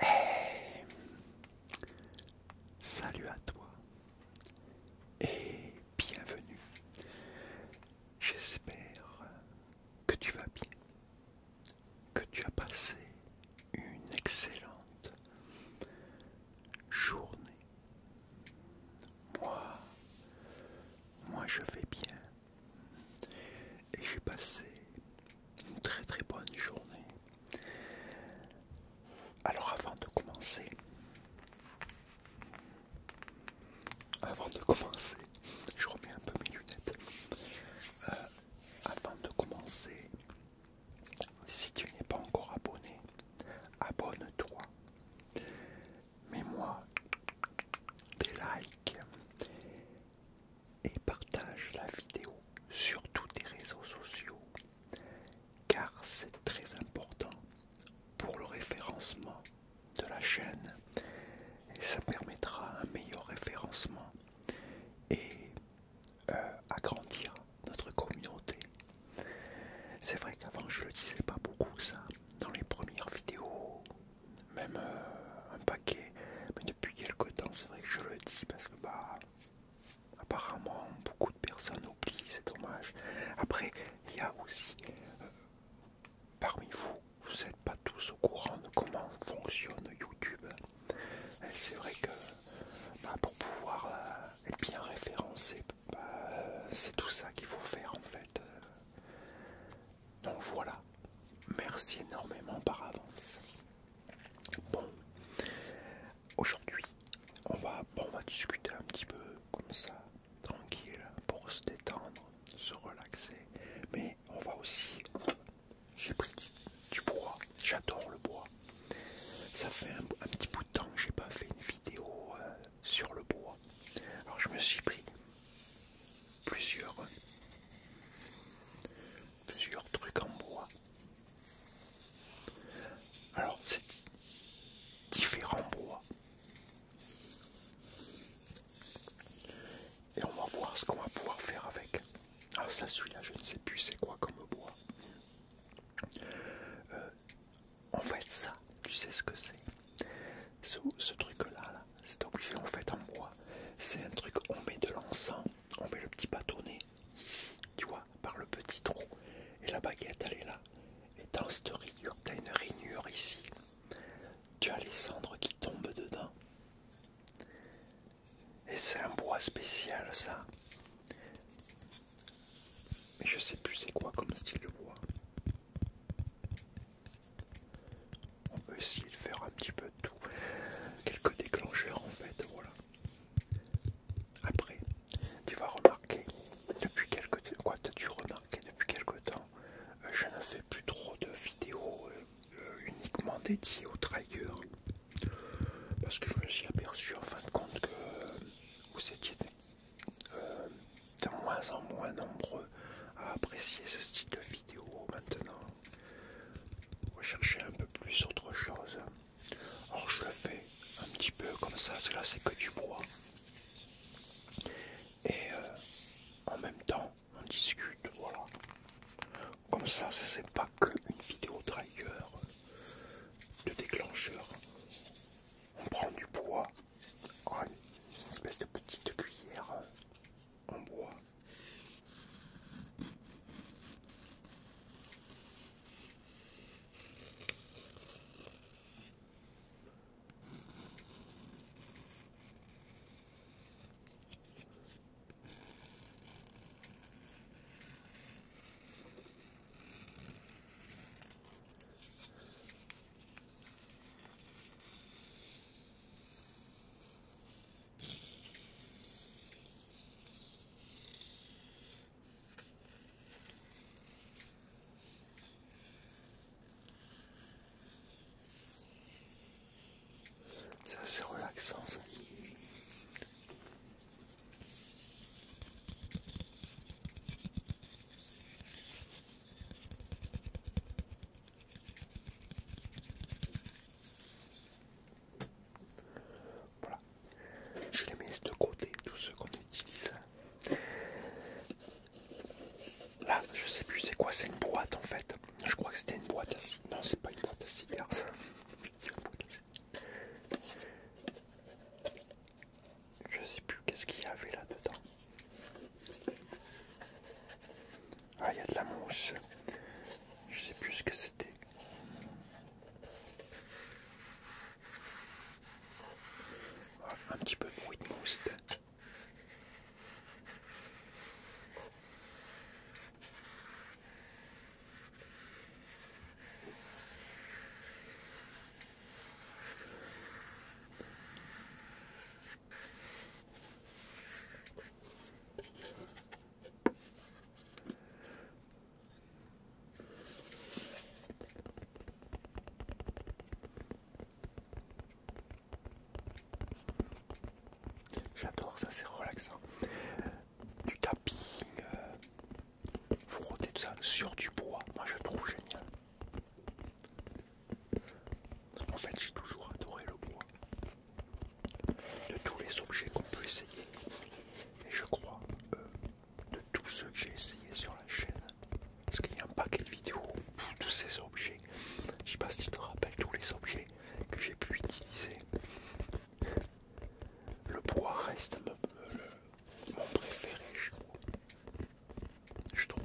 Eh. Salut à toi et bienvenue. J'espère que tu vas bien, que tu as passé une excellente journée. Moi, moi je vais bien et j'ai passé une très très bonne journée. Alors avant de commencer, avant de commencer, je remets un peu mes lunettes. Euh, avant de commencer, si tu n'es pas encore abonné, abonne-toi mets moi des likes et partage la vidéo sur tous tes réseaux sociaux car c'est très important pour le référencement de la chaîne et ça permettra un meilleur référencement et euh, agrandir notre communauté. C'est vrai qu'avant je le disais pas beaucoup ça dans les premières vidéos même euh, un paquet. Mais depuis quelque temps, c'est vrai que je le dis parce que bah apparemment beaucoup de personnes oublient, c'est dommage. Après, il y a aussi euh, parmi vous, vous n'êtes pas tous au courant de comment fonctionne YouTube. C'est vrai que bah, pour pouvoir euh, être bien référencé, bah, c'est tout ça qu'il faut faire en fait. Donc voilà, merci énormément par avance. Bon, aujourd'hui, on va, discuter un petit peu comme ça, tranquille, pour se détendre, se relaxer. Mais on va aussi, j'ai pris du bois, j'adore le bois. Ça fait un, petit bout de temps que j'ai pas fait une vidéo euh, sur le bois. Alors je me suis pris plusieurs, plusieurs trucs en bois. Alors c'est différents bois. Et on va voir ce qu'on va pouvoir faire avec. Alors ah, ça celui-là je ne sais plus c'est quoi comme bois. Euh, en fait ça, tu sais ce que c'est ce, truc là, c'est obligé en fait en bois. C'est un truc, on met de l'encens, on met le petit bâtonnet ici, tu vois, par le petit trou. Et la baguette elle est là. Et dans cette rainure, tu as une rainure ici. Tu as les cendres qui tombent dedans. Et c'est un bois spécial ça. Mais je sais plus c'est quoi comme style de bois. On peut essayer de faire un petit peu tout. Quelques déclencheurs en fait, voilà. Après, tu vas remarquer, depuis quelques quoi t'as-tu remarqué depuis quelque temps, euh, je ne fais plus trop de vidéos euh, euh, uniquement dédiées aux triggers. Parce que je me suis aperçu en fin de compte que vous étiez euh, de moins en moins nombreux à apprécier ce style de vidéo maintenant. On va chercher un peu plus autre chose. Alors je le fais un petit peu comme ça, c'est c'est que du bois. Et euh, en même temps, on discute, voilà. Comme ça, ce n'est pas une vidéo trigger de déclencheur. On prend du poids Oh, une espèce de petite cuillère en bois. C'est assez relaxant ça. Voilà, je les mets de côté, tous ceux qu'on utilise. Là, je sais plus c'est quoi, c'est une boîte en fait. Je crois que c'était une boîte à Non, c'est pas une boîte à cigares. je sais plus qu'est-ce qu'il y avait là-dedans. Ah, il y a de la mousse. Je sais plus ce que c'était. un petit peu de bruit de mousse. J'adore ça, c'est relaxant. Du tapis euh, frotter tout ça sur du bois, moi je trouve génial. En fait, j'ai toujours adoré le bois. De tous les objets qu'on peut essayer, et je crois euh, de tous ceux que j'ai essayé sur la chaîne, parce qu'il y a un paquet de vidéos pour tous ces objets. Je sais pas si tu te rappelles tous les objets que j'ai pu utiliser. Le bois reste euh, mon, préféré, je Je trouve.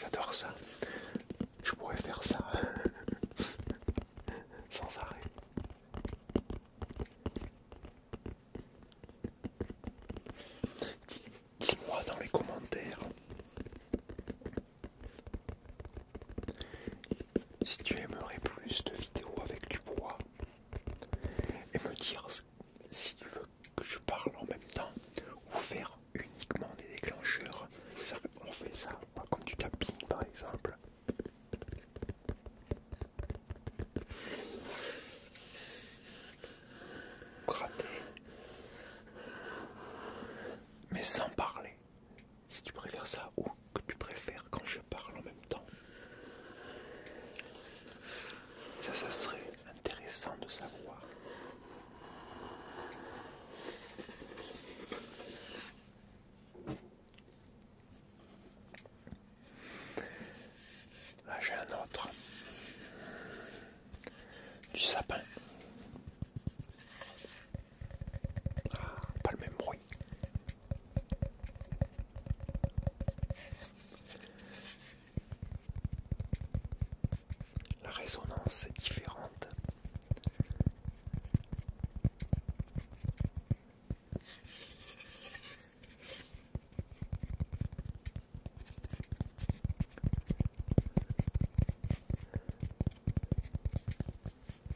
J'adore ça. Je pourrais faire ça sans arrêt. Dis-moi dans les commentaires si tu aimerais plus de vidéos avec du bois et me dire si tu veux que je parle en même temps ou faire uniquement des déclencheurs, on fait ça comme du tapping par exemple. Gratter, mais sans parler si tu préfères ça ou que tu préfères quand je parle en même temps. Ça, ça serait intéressant de savoir. Là, ah, j'ai un autre. Du sapin pas le même bruit. La résonance est différente.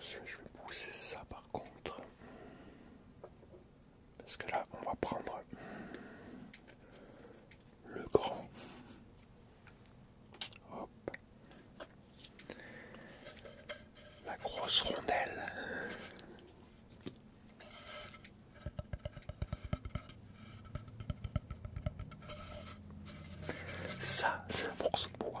je, vais pousser ça par contre. Parce que là, on va prendre le grand. Hop. La grosse rondelle. Ça, c'est un morceau de bois.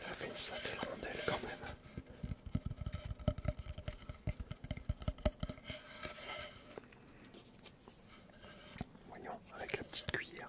Ça fait une sacrée rondelle quand même. Voyons avec la petite cuillère.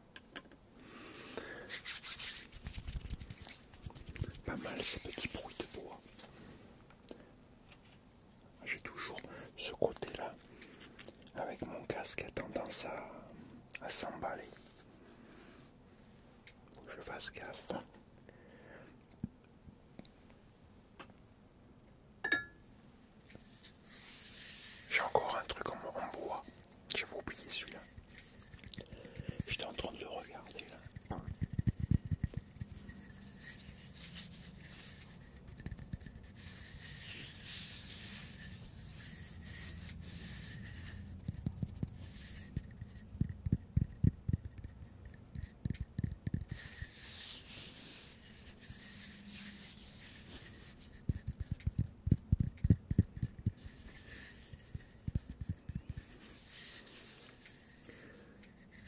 Pas mal ce petit bruits de bois. J'ai toujours ce côté-là, avec mon casque, a tendance à, s'emballer. Je fasse gaffe. J'ai encore un truc en bois. J'avais oublié celui-là. J'étais en train de le regarder là.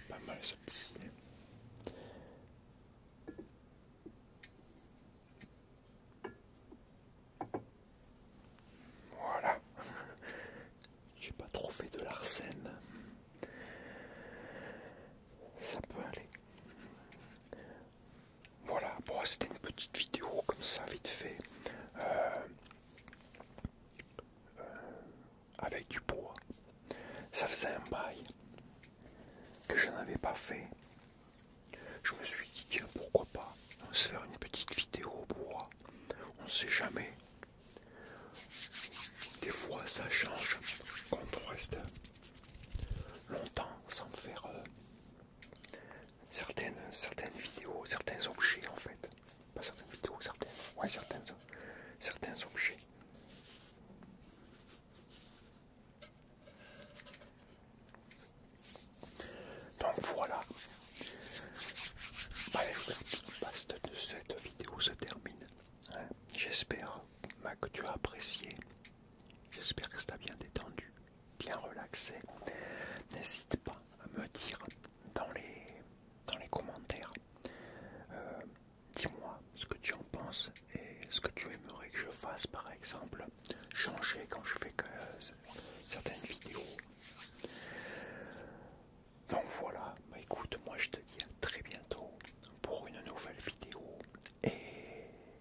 Pas mal Voilà, j'ai pas trop fait de l'arsène. Ça peut aller. Voilà, pour c'était une petite vidéo comme ça, vite fait, euh, euh, avec du bois. Ça faisait un bail que je n'avais pas fait. Je me suis dit, pourquoi pas on se faire une petite vidéo au bois. On ne sait jamais. Des fois, ça change quand on reste longtemps sans faire euh, certaines, certaines vidéos, certains objets en fait. Pas certaines vidéos, certaines, ouais, certains objets. Donc voilà, bah, de cette vidéo se termine. Hein. J'espère que tu as apprécié. J'espère que ça t'a bien détendu bien relaxé, n'hésite pas à me dire dans les, dans les commentaires, euh, dis-moi ce que tu en penses et ce que tu aimerais que je fasse par exemple, changer quand je fais que euh, certaines vidéos. Donc voilà, bah, écoute, moi je te dis à très bientôt pour une nouvelle vidéo et